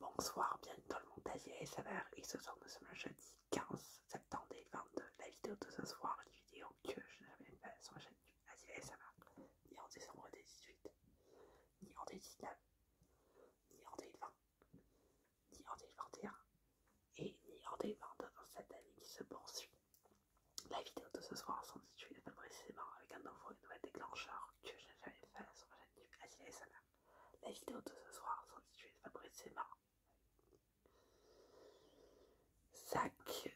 Bonsoir, bienvenue dans le monde et SMR et ce soir nous sommes le jeudi 15 septembre 2022. La vidéo de ce soir est une vidéo que je n'ai jamais faite sur ma chaîne et SMR, ni en décembre 2018, ni en 2019, ni en 2020, ni en 2021 et ni en 2022 dans cette année qui se poursuit. La vidéo de ce soir s'intitule plus précisément avec un nouveau et nouvel déclencheur que je n'ai jamais fait sur ma chaîne et SMR. La vidéo de ce soir s'intitule Fabrice Emma. Sac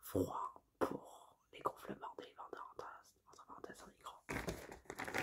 froid pour les gonflements des vendeurs entre parenthèses en micro.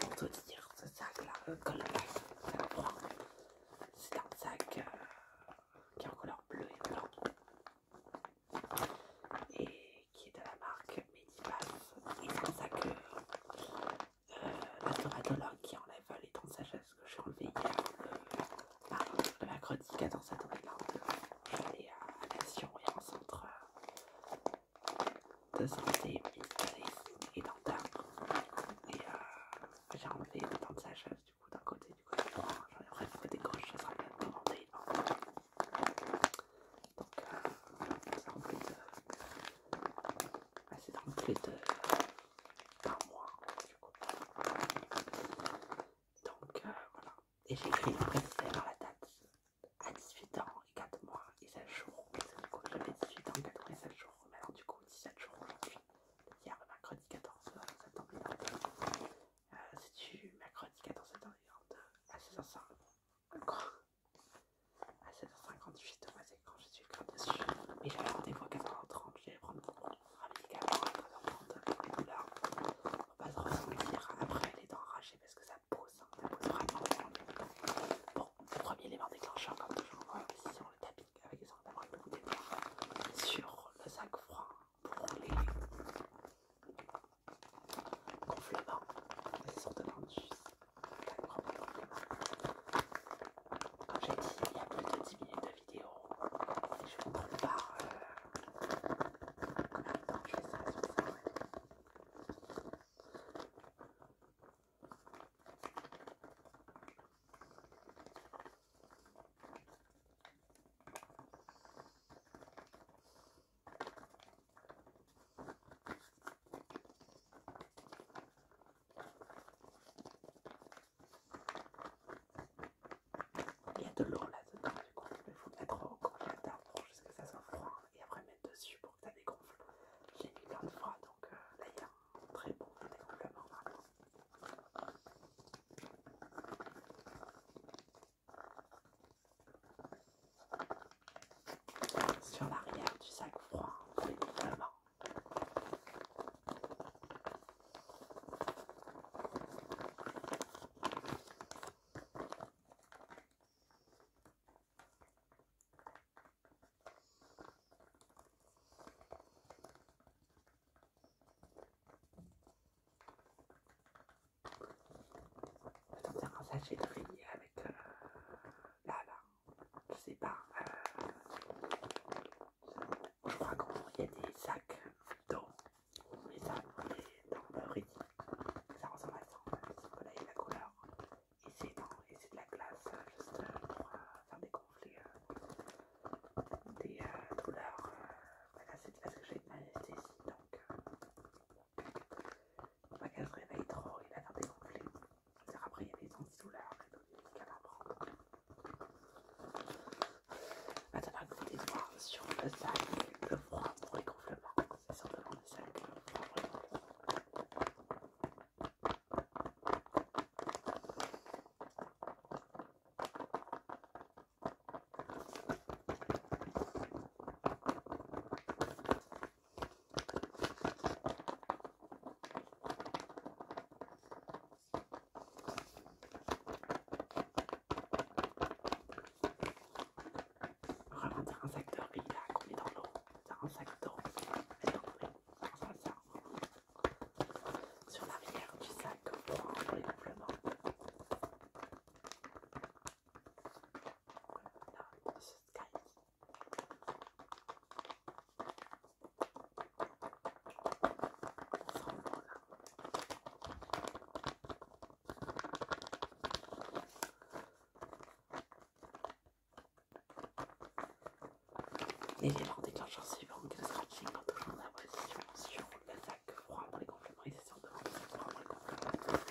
Pour te dire, ce sac là, le euh, froid, c'est un sac euh, qui est en couleur bleu et blanc. Et qui est de la marque Medipass. Et c'est pour ça que euh, la qui enlève les dents de sagesse que j'ai enlevées hier, le, bah, a mercredi 14 septembre, je vais aller à l'action et en un centre euh, de santé et dentaire. Et euh, j'ai enlevé les dents de sagesse du coup d'un côté, du côté droit, J'en ai gauche, des ça sera bien de donc, c'est euh, plus de. C'est de. par mois, du coup. Donc, euh, voilà. Et j'écris respect par la date à 18 ans et 4 mois et 7 jours. du coup, j'avais 18 ans, 4 mois et 7 jours. Mais du coup, 17 jours aujourd'hui. Hier, mercredi 14 septembre 2022. C'est du mercredi 14 septembre 2022 à 16h05 à 7h58 moi c'est quand je suis comme dessus mais j'avais rendez-vous à 4h30 j'allais prendre mon à à être dans le les douleurs, pour pas se ressentir après les dents arrachées parce que ça pose hein, ça pose vraiment bon le premier élément déclencheur comme toujours ici sur le tapis avec les sangles avec beaucoup d'étoiles sur le sac froid pour les gonflements les sortes de manches comme j'ai dit, il y a plus de 10 minutes de vidéo. Et je vous prépare euh, un temps il y a de l'eau là-dedans, du il faut mettre au congélateur pour ce que ça soit froid et après mettre dessus pour que ça dégonfle. J'ai mis plein de fois, donc euh, là il y a un très bon dégonflement sur l'arrière du sac froid On va tenter un sachet de riz avec euh, là, là je sais pas, euh, je crois qu'il y a des sacs d'eau, les sacs dans le riz, ça ressemble à ça, sauf que là il y a la couleur, et c'est de la glace euh, juste euh, pour faire des conflits, des douleurs, voilà, bah, c'est parce que j'ai une anesthésie, donc il va qu'elle se réveille trop, il va faire des conflits. C'est-à-dire après il y a des antidouleurs, des douleurs à prendre. Maintenant, un petit histoire sur le sac, le froid pour les gonflements. C'est certainement le sac, le pour les gonflements. Vraiment, un sac d'or riz là qu'on met dans l'eau. C'est un sac d'eau. Ça, ça. Sur l'arrière du sac, on prend les compléments. Voilà, ce sky. L'élément déclencheur suivant que le scratching toujours la position sur sac froid pour les gonflables, c'est sur pour les compléments.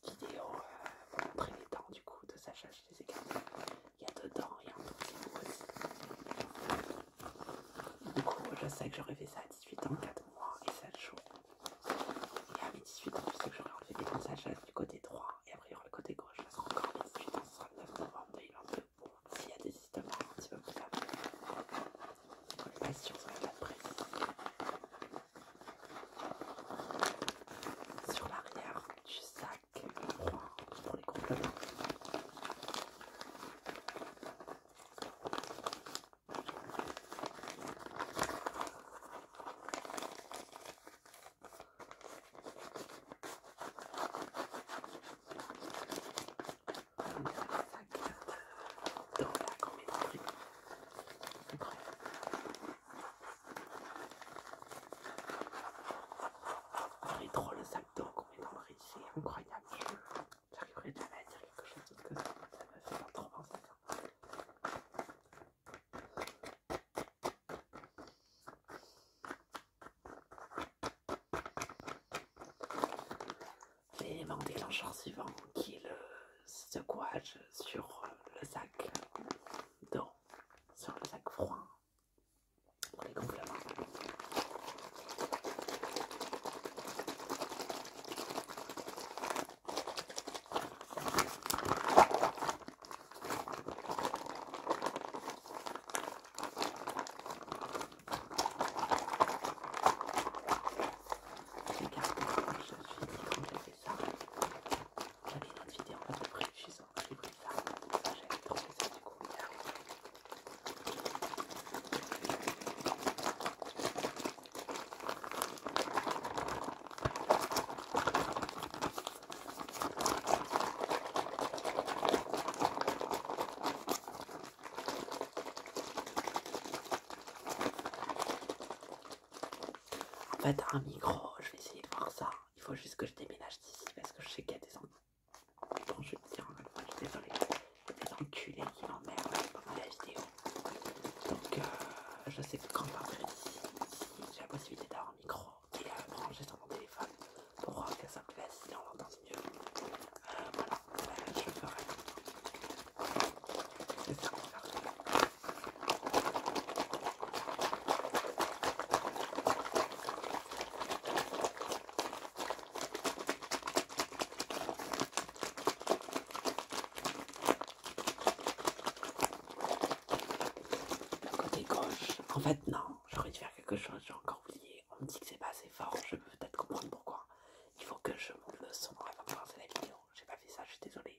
vidéo euh, pour montrer les dents du coup de Sacha, je les ai gardées. Il y a dedans dents et un tout Du coup, je sais que j'aurais fait ça à 18 ans, 4 mois et 7 jours. Et à mes 18 ans, je sais que j'aurais enlevé les dents de Sacha du côté droit et après il y aura le côté gauche. Ça sera encore 18 ans, ce sera le 9 novembre 2022. Bon, s'il y a des histoires un petit peu plus tard. On pas ça sur l'arrière du sac noir pour les compléments. Dans la Incroyable. Il est trop le sac d'eau qu'on met dans le récit, c'est incroyable. J'arriverai jamais à dire quelque chose d'autre que ça. Ça me fait trop penser à ça. L'élément déclencheur suivant qui est le secouage sur euh, le sac d'eau, sur le sac froid pour les gonflements. Regardez, je suis j'avais une autre vidéo en mode réfléchissant. J'ai pris ça. ça J'avais trouvé ça du coup. En fait, un micro, je vais essayer de voir ça. Il faut juste que je déménage d'ici parce que je sais qu'il y a des enculés. je vais dire qui m'emmerdent pendant la vidéo. Donc, je sais que quand je d'ici, j'ai la possibilité d'avoir un micro Et est brancher sur mon téléphone pour que ça me plaît, si on l'entend mieux. voilà, je je ferai le côté gauche, en fait non, j'aurais dû faire quelque chose, j'ai encore oublié. On me dit que c'est pas assez fort, je peux peut-être comprendre pourquoi. Il faut que je monte le son avant de commencer la vidéo. J'ai pas fait ça, je suis désolée.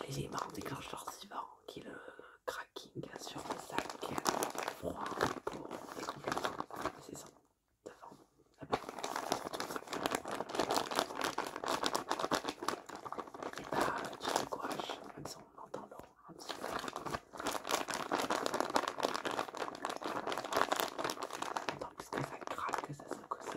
l'élément déclencheur suivant qui est le cracking sur le sac froid pour les compléments. C'est ça, devant. Et bah, tu te gouaches, même si on entend l'eau un petit peu. On entend plus que ça craque, que ça se coupe.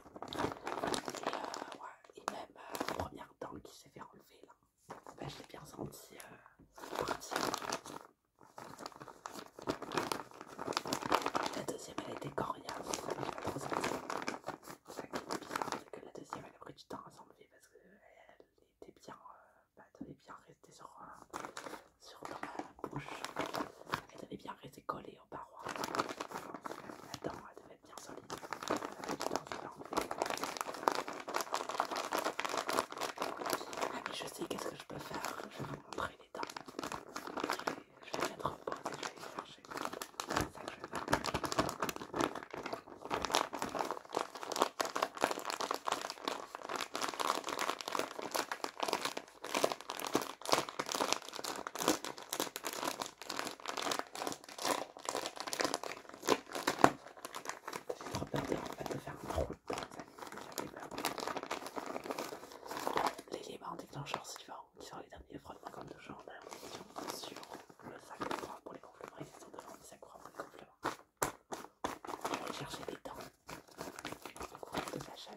Euh, et, même euh, la première dent qui s'est fait enlever là. Ben, je l'ai bien senti euh, La deuxième elle était coriace. ça bizarre, que la deuxième elle a pris du temps à s'enlever parce qu'elle était bien, elle était bien ben, restée sur, ma sur dans bouche. Elle avait bien restée collée paroi. La dent elle devait être bien solide. Ah mais je sais qu'est-ce que je peux faire. Je vais vous montrer les dents. Je vais, mettre en je vais les chercher. C'est ça que je vais faire. J'ai trop peur de, en fait, de faire un trou dedans, j'avais peur. L'élément déclencheur suivant, qui sont les derniers frottements comme toujours, on sur le sac de froid pour les gonflements, ils sont devant les sacs froids pour les gonflements. Je vais chercher des dents, au cours de la l'achat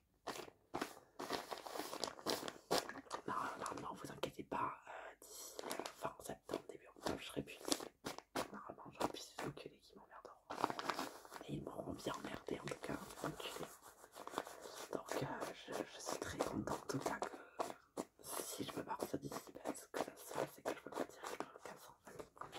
Non, normalement, vous inquiétez pas, euh, d'ici euh, fin septembre, début octobre, je serai plus Normalement, j'aurai plus ces enculés qui m'emmerderont. Et ils m'auront bien emmerdé en tout cas, enculés. Donc, euh, je, suis très contente en tout cas que si je peux partir d'ici, ben, ce que ça se c'est que je peux partir avec un ans.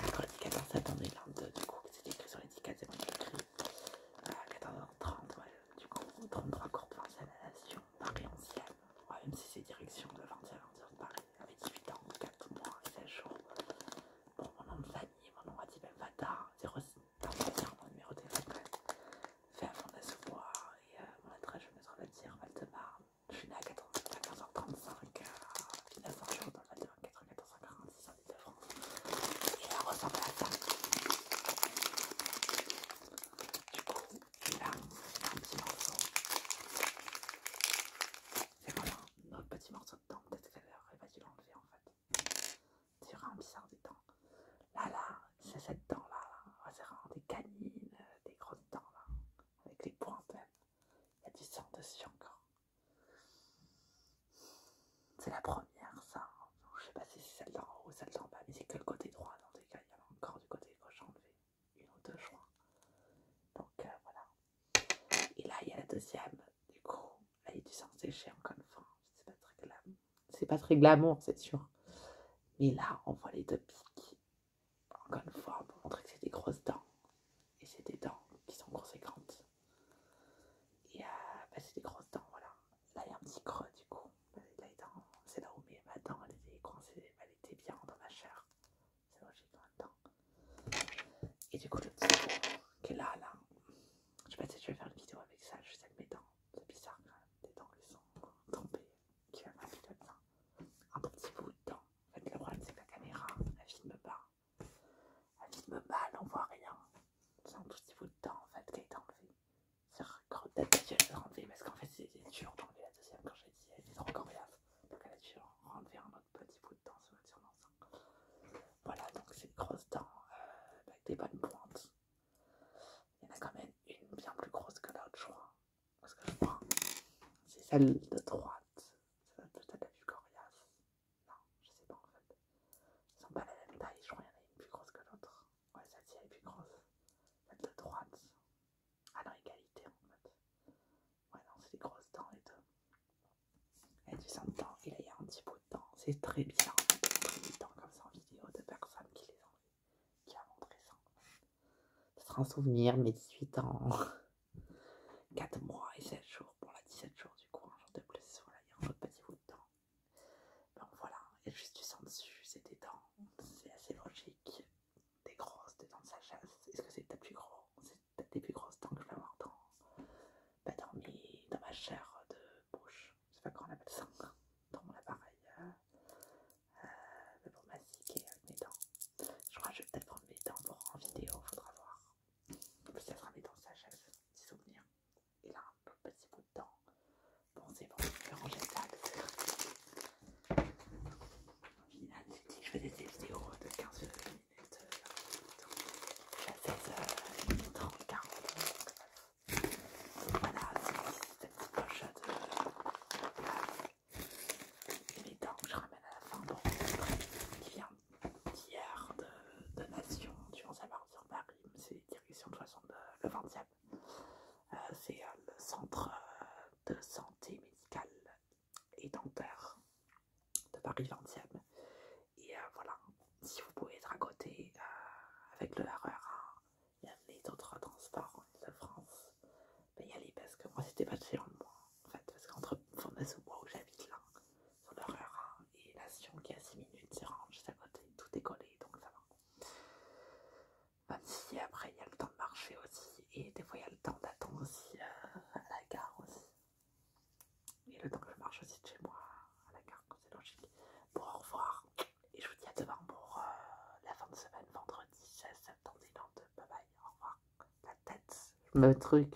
14 du coup, c'était écrit sur l'étiquette, c'est moi qui écrit. 14h30, euh, du coup, 33 de à la Nation, Paris 11e. Ouais, même si c'est direction de 20 à de Paris, avec 18 ans, 4 mois, 16 jours. Bon, mon nom de mon nom 06 mon numéro de téléphone, fait un fond de et euh, mon adresse, je me trouve à dire val Je suis née à 14h35, à 19 dans en 94 francs 46 en la ressemble à ça. Du coup, là, c'est un petit morceau. C'est vraiment un autre petit morceau de dent, Peut-être qu'elle va dû l'enlever en fait. C'est un bizarre des dents. Là, là, c'est cette dent là. C'est vraiment des canines, des grosses dents là. Avec les points même. Il y a du sang dessus encore. C'est la première, ça. Je sais pas si c'est celle d'en haut ou celle d'en bas, mais c'est que le côté droit. Dans des cas, il y a encore du côté gauche enlevé. Une ou deux, joints. Donc euh, voilà. Et là, il y a la deuxième. Du coup, là, il y du sang séché encore une fois. C'est pas très glamour. C'est sûr. Mais là, on voit les deux piques Encore une fois, pour montrer que c'est des grosses dents et c'est des dents qui sont conséquentes. Et grandes. Euh, bah, c'est des grosses dents, voilà. Là, il y a un petit creux du coup. Bah, c'est là où ma dent elle était coincée, elle était bien dans ma chair. C'est logique dans la temps. Et du coup, le petit bout qui est là, là, je sais pas si je vais faire une vidéo avec ça, je sais que mes dents, c'est bizarre quand même, des dents qui sont trompées, qui a Un petit bout de dent. En fait, le problème c'est que la caméra, elle filme pas. Elle vie me mal, on voit rien. C'est un tout petit bout de dent en fait qui a été enlevé. C'est la deuxième enlevée parce qu'en fait c'est dur d'enlever la deuxième quand j'ai dit elle était trop coriace. Donc elle a dû enlever un autre petit bout de temps sur l'ensemble. Voilà donc c'est une grosse dent euh, avec des bonnes pointes. Il y en a quand même une bien plus grosse que l'autre je crois. Parce que je c'est celle de droite. C'est la vue coriace. Non, je sais pas en fait. Ils sont pas la même taille, je crois qu'il y en a une plus grosse que l'autre. Ouais, celle-ci elle est plus grosse. La de droite. Ah non, égalité en fait. Ouais, non, c'est des grosses dents les deux. Et a du sang dedans, et là il y a un petit bout de dents. C'est très bizarre des dents comme ça en vidéo de personnes qui les ont qui a montré ça. Ce sera un souvenir, mes 18 ans. 4 mois et 7 jours. Bon, là, 17 jours du coup. Hein de voilà, il y a un autre petit bout de temps. Bon voilà, il y a juste du sang dessus, c'est des dents, c'est assez logique. Des grosses, des dents de sagesse. est-ce que c'est peut-être plus gros C'est peut-être des plus grosses dents que je vais avoir dans, bah, dans ma chair de bouche, C'est pas comment on appelle ça, dans mon appareil. Mais euh, euh, pour m'assiquer avec mes dents. Je crois que je vais peut-être prendre mes dents pour en vidéo, faudra voir. Peut-être un dans sa chaise, petit souvenir. Il a un petit bout de temps. Bon, c'est bon, je vais ranger ça. Au final, j'ai dit que je faisais des vidéos de 15 minutes. À 16 h 30, 40 minutes. Voilà, c'est cette petite poche de. Il Et temps que je ramène à la fin. Bon, qui vient tiers de, Nation nation tu vas savoir sur Paris, c'est direction de façon de, le 20e. Euh, euh, c'est euh, le centre de santé médicale et dentaire de Paris 20e. Et voilà, si vous pouvez être à côté avec le RRA, e il y a les autres transports en de france ben y aller parce que moi c'était pas de chez moi en fait, parce qu'entre Fondas ou moi où j'habite là, Hein. et la Sion qui a 6 minutes se range juste à côté, tout est collé donc ça va. Même si après il y a le temps de marcher aussi et des fois il y a le temps d'attendre aussi euh, à la gare aussi. Et le temps que je marche aussi de chez moi à la gare, c'est logique. Bon au revoir et je vous dis à demain pour euh, la fin de semaine, vendredi 16 septembre, Bye bye, au revoir. La tête, le bah, truc.